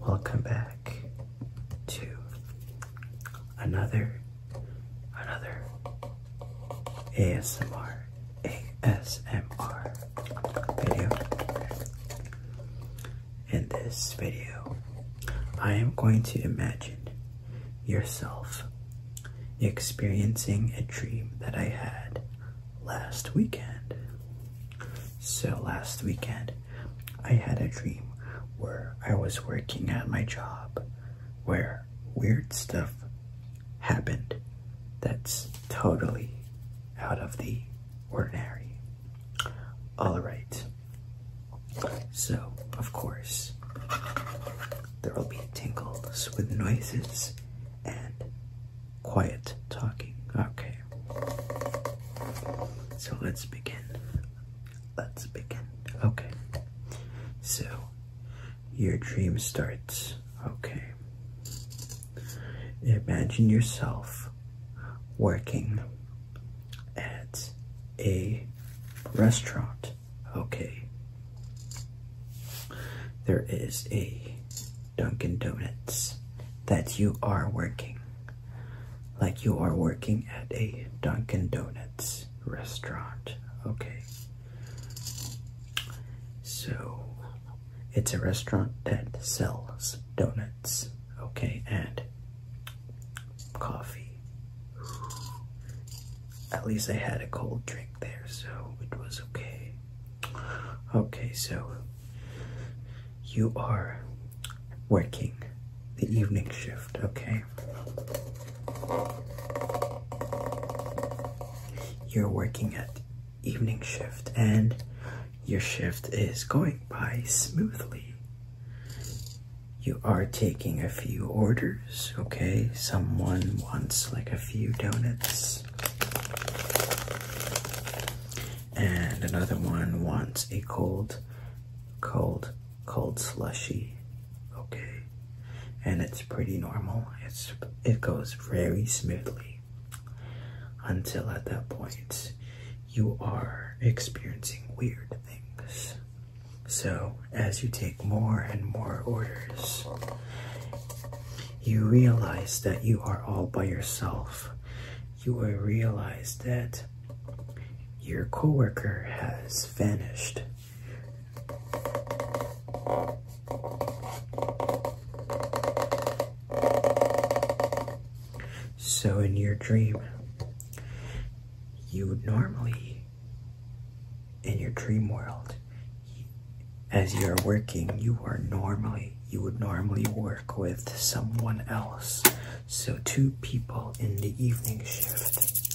Welcome back to another another ASMR ASMR video. In this video, I am going to imagine yourself experiencing a dream that I had last weekend. So, last weekend, I had a dream where I was working at my job where weird stuff happened that's totally out of the ordinary. Alright, so of course, there will be tingles with noises and quiet talking. Okay. So let's begin. Let's begin. Okay. So your dream starts. Okay. Imagine yourself working at a restaurant. Okay. There is a Dunkin' Donuts that you are working. Like you are working at a Dunkin' Donuts restaurant. Okay. So, it's a restaurant that sells donuts. Okay, and coffee. At least I had a cold drink there, so it was okay. Okay, so you are working the evening shift, okay? You're working at evening shift and your shift is going by smoothly. You are taking a few orders, okay? Someone wants like a few donuts. And another one wants a cold, cold, cold slushy. Okay. And it's pretty normal. It's it goes very smoothly until at that point you are experiencing weird things. So as you take more and more orders, you realize that you are all by yourself. You will realize that your coworker has vanished. So, in your dream, you would normally in your dream world as you're working you would normally work with someone else so two people in the evening shift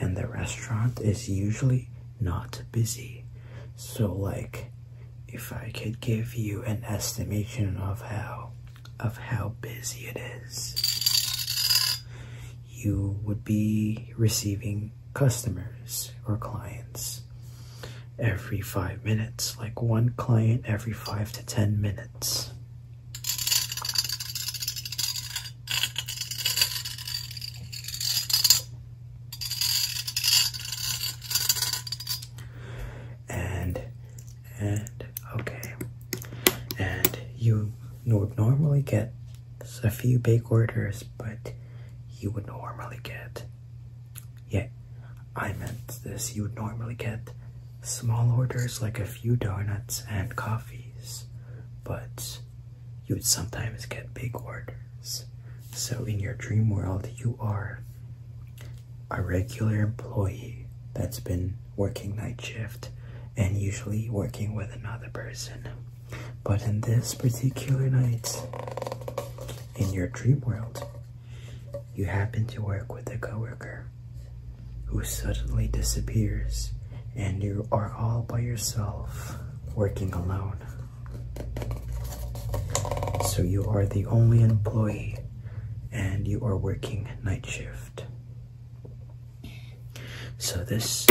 and the restaurant is usually not busy so like if i could give you an estimation of how of how busy it is you would be receiving customers or clients every five minutes, like one client every five to ten minutes. And, and, okay. And you would normally get there's a few big orders, but you would normally get. Yeah, I meant this. You would normally get small orders like a few donuts and coffees, but you would sometimes get big orders. So, in your dream world, you are a regular employee that's been working night shift and usually working with another person. But in this particular night, in your dream world, you happen to work with a coworker who suddenly disappears and you are all by yourself working alone. So you are the only employee and you are working night shift. So this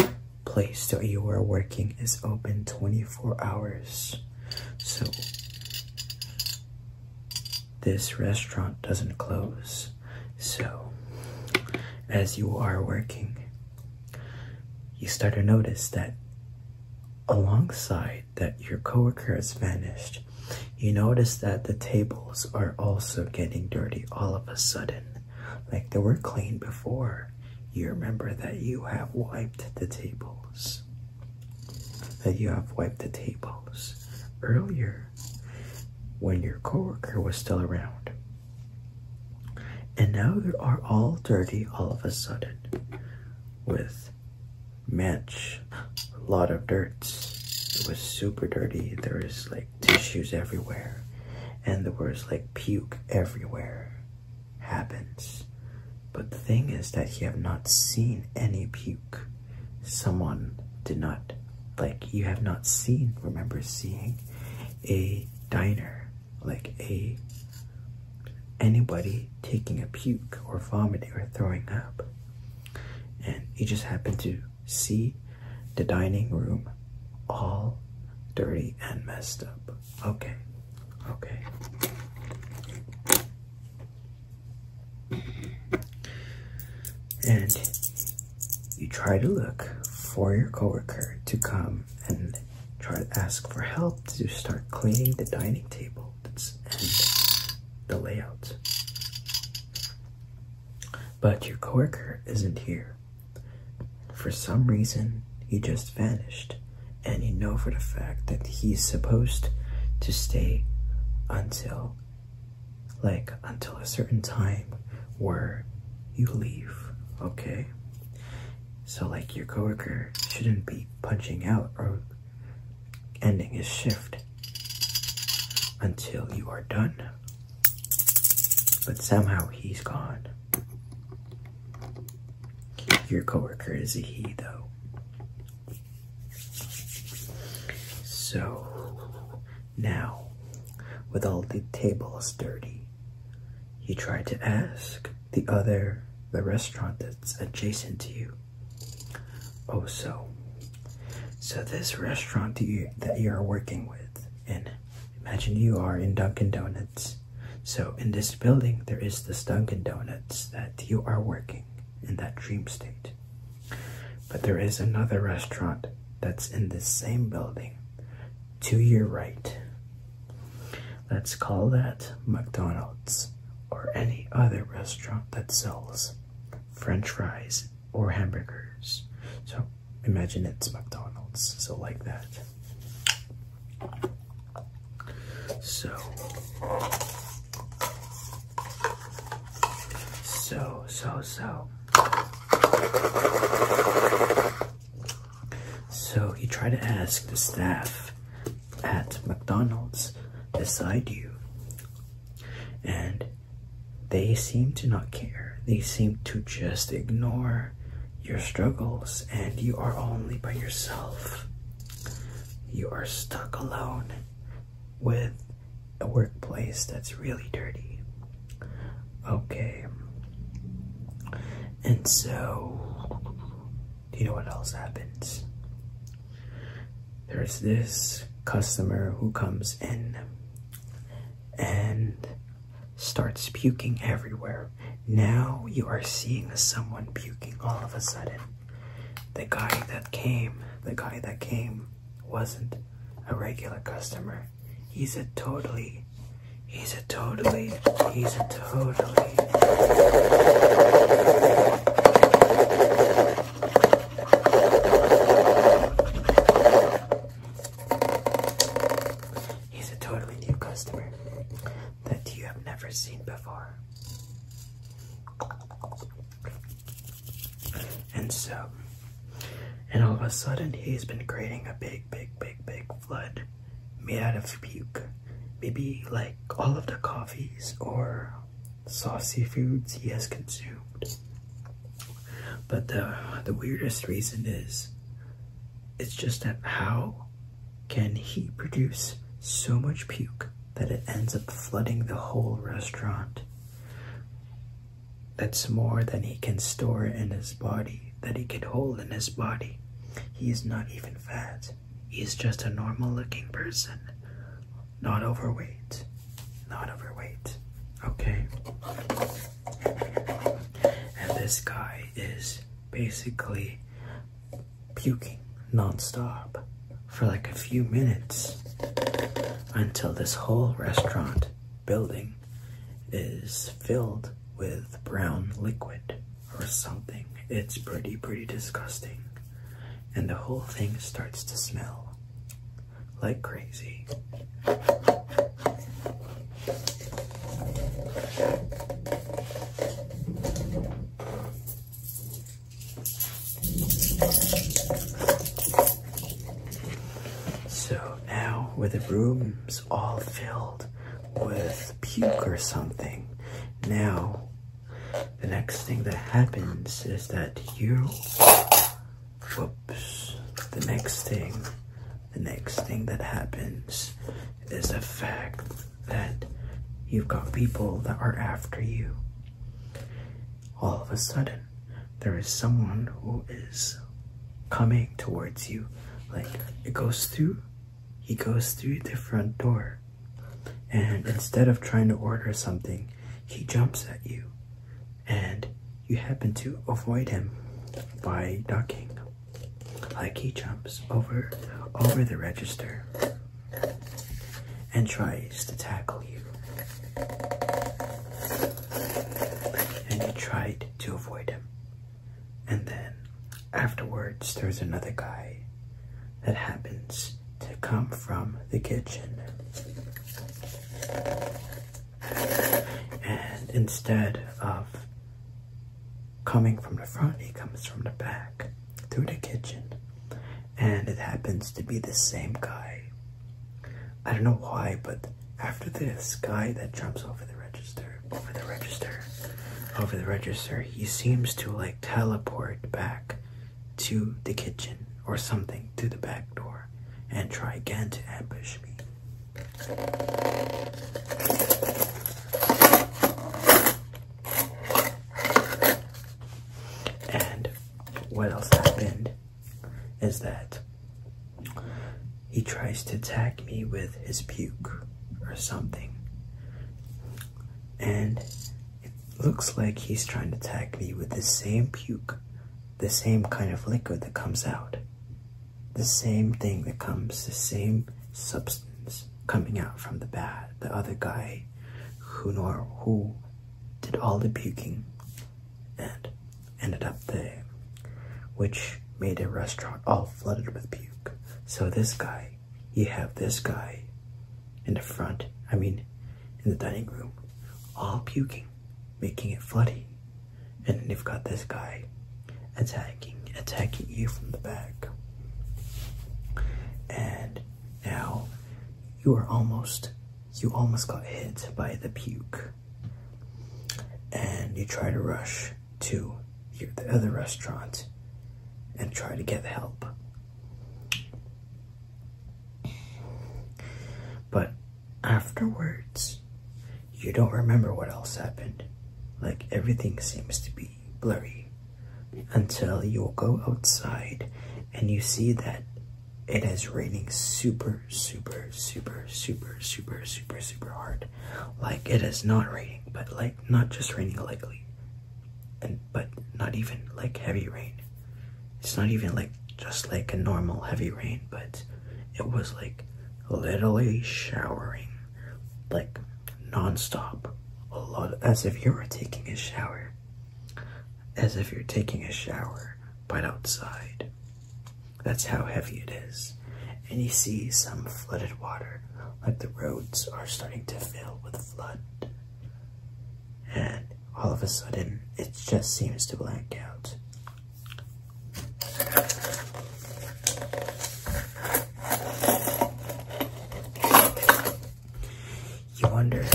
place that you are working is open 24 hours. So this restaurant doesn't close. So as you are working, you start to notice that alongside that your coworker has vanished, you notice that the table are also getting dirty all of a sudden, like they were clean before. You remember that you have wiped the tables. That you have wiped the tables earlier when your coworker was still around. And now they are all dirty all of a sudden with match a lot of dirt. It was super dirty. There is like tissues everywhere and the words like puke everywhere happens. But the thing is that you have not seen any puke. Someone did not like you have not seen remember seeing a diner like a anybody taking a puke or vomiting or throwing up and you just happened to see the dining room all dirty and messed up. Okay, okay. And you try to look for your coworker to come and try to ask for help to start cleaning the dining table and the layout. But your coworker isn't here. For some reason, he just vanished, and you know for the fact that he's supposed to stay until, like, until a certain time where you leave, okay? So, like, your coworker shouldn't be punching out or ending his shift until you are done. But somehow he's gone. Your coworker is a he, though. So, now, with all the tables dirty, you try to ask the other, the restaurant that's adjacent to you, Oh, so. So this restaurant that you that you are working with, and imagine you are in Dunkin' Donuts. So in this building, there is this Dunkin' Donuts that you are working in that dream state. But there is another restaurant that's in this same building to your right. Let's call that McDonald's or any other restaurant that sells French fries, or hamburgers. So imagine it's McDonald's, so like that. So, so, so, so. So he tried to ask the staff at McDonald's beside you and they seem to not care. They seem to just ignore your struggles, and you are only by yourself. You are stuck alone with a workplace that's really dirty. Okay. And so, you know what else happens? there's this customer who comes in and starts puking everywhere. Now you are seeing someone puking all of a sudden. The guy that came, the guy that came wasn't a regular customer. He's a totally, he's a totally, he's a totally. He's a totally new customer that you have never seen before. And so, and all of a sudden, he's been creating a big, big, big, big flood made out of puke. Maybe like all of the coffees or saucy foods he has consumed. But the, the weirdest reason is it's just that how can he produce so much puke that it ends up flooding the whole restaurant? That's more than he can store in his body, that he can hold in his body. He is not even fat. He's just a normal looking person. Not overweight. Not overweight. Okay. And this guy is basically puking nonstop for like a few minutes until this whole restaurant building is filled with brown liquid or something. It's pretty, pretty disgusting and the whole thing starts to smell like crazy. So now, with the rooms all filled with puke or something, now the next thing that happens is that you whoops the next thing the next thing that happens is the fact that you've got people that are after you all of a sudden there is someone who is coming towards you like it goes through he goes through the front door and instead of trying to order something, he jumps at you and you happen to avoid him by ducking. Like he jumps over over the register and tries to tackle you. And you tried to avoid him. And then afterwards there's another guy that happens to come from the kitchen. And instead of coming from the front, he comes from the back through the kitchen. And it happens to be the same guy. I don't know why, but after this guy that jumps over the register, over the register, over the register, he seems to like teleport back to the kitchen or something to the back door and try again to ambush me. And what else happened is that he tries to attack me with his puke or something and it looks like he's trying to attack me with the same puke, the same kind of liquid that comes out, the same thing that comes, the same substance coming out from the bat, the other guy who nor who did all the puking and ended up there, which made a restaurant all flooded with puke. So this guy you have this guy in the front, I mean, in the dining room, all puking, making it floody. And you've got this guy attacking, attacking you from the back. And now you are almost, you almost got hit by the puke. And you try to rush to the other restaurant and try to get help. But afterwards, you don't remember what else happened. Like everything seems to be blurry until you go outside and you see that it is raining super, super, super, super, super, super, super hard like it is not raining, but like not just raining lightly, and but not even like heavy rain. It's not even like just like a normal heavy rain, but it was like literally showering, like nonstop, a lot, as if you are taking a shower, as if you're taking a shower, but outside. That's how heavy it is and he sees some flooded water, like the roads are starting to fill with flood. And all of a sudden, it just seems to black out. You wonder,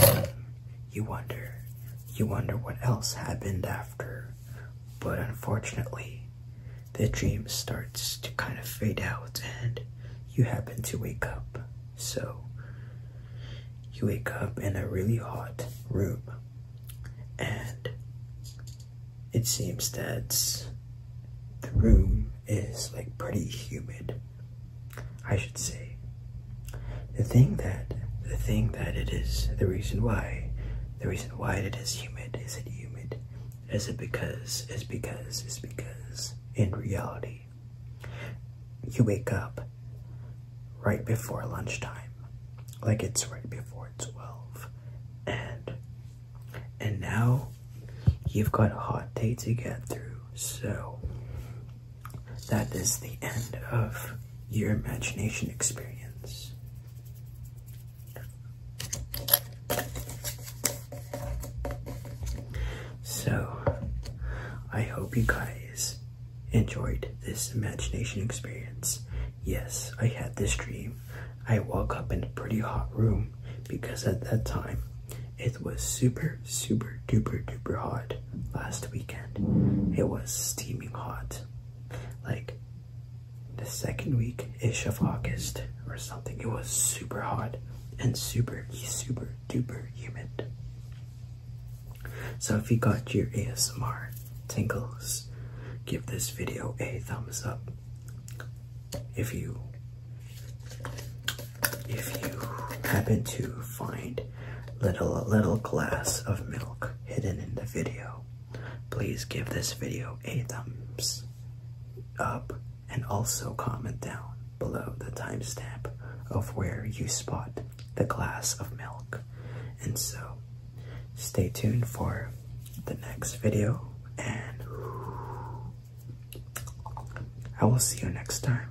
you wonder, you wonder what else happened after, but unfortunately, the dream starts to kind of fade out and you happen to wake up. So you wake up in a really hot room and it seems that the room is like pretty humid. I should say the thing that the thing that it is the reason why the reason why it is humid is it humid is it because, is because, is because in reality, you wake up right before lunchtime, like it's right before 12, and, and now you've got a hot day to get through, so that is the end of your imagination experience. So, I hope you guys enjoyed this imagination experience. Yes, I had this dream. I woke up in a pretty hot room because at that time it was super, super, duper, duper hot last weekend. It was steaming hot. Like the second week ish of August or something. It was super hot and super, super duper humid. So if you got your ASMR tingles, give this video a thumbs up. If you if you happen to find little little glass of milk hidden in the video, Please give this video a thumbs up and also comment down below the timestamp of where you spot the glass of milk. And so, stay tuned for the next video, and I will see you next time.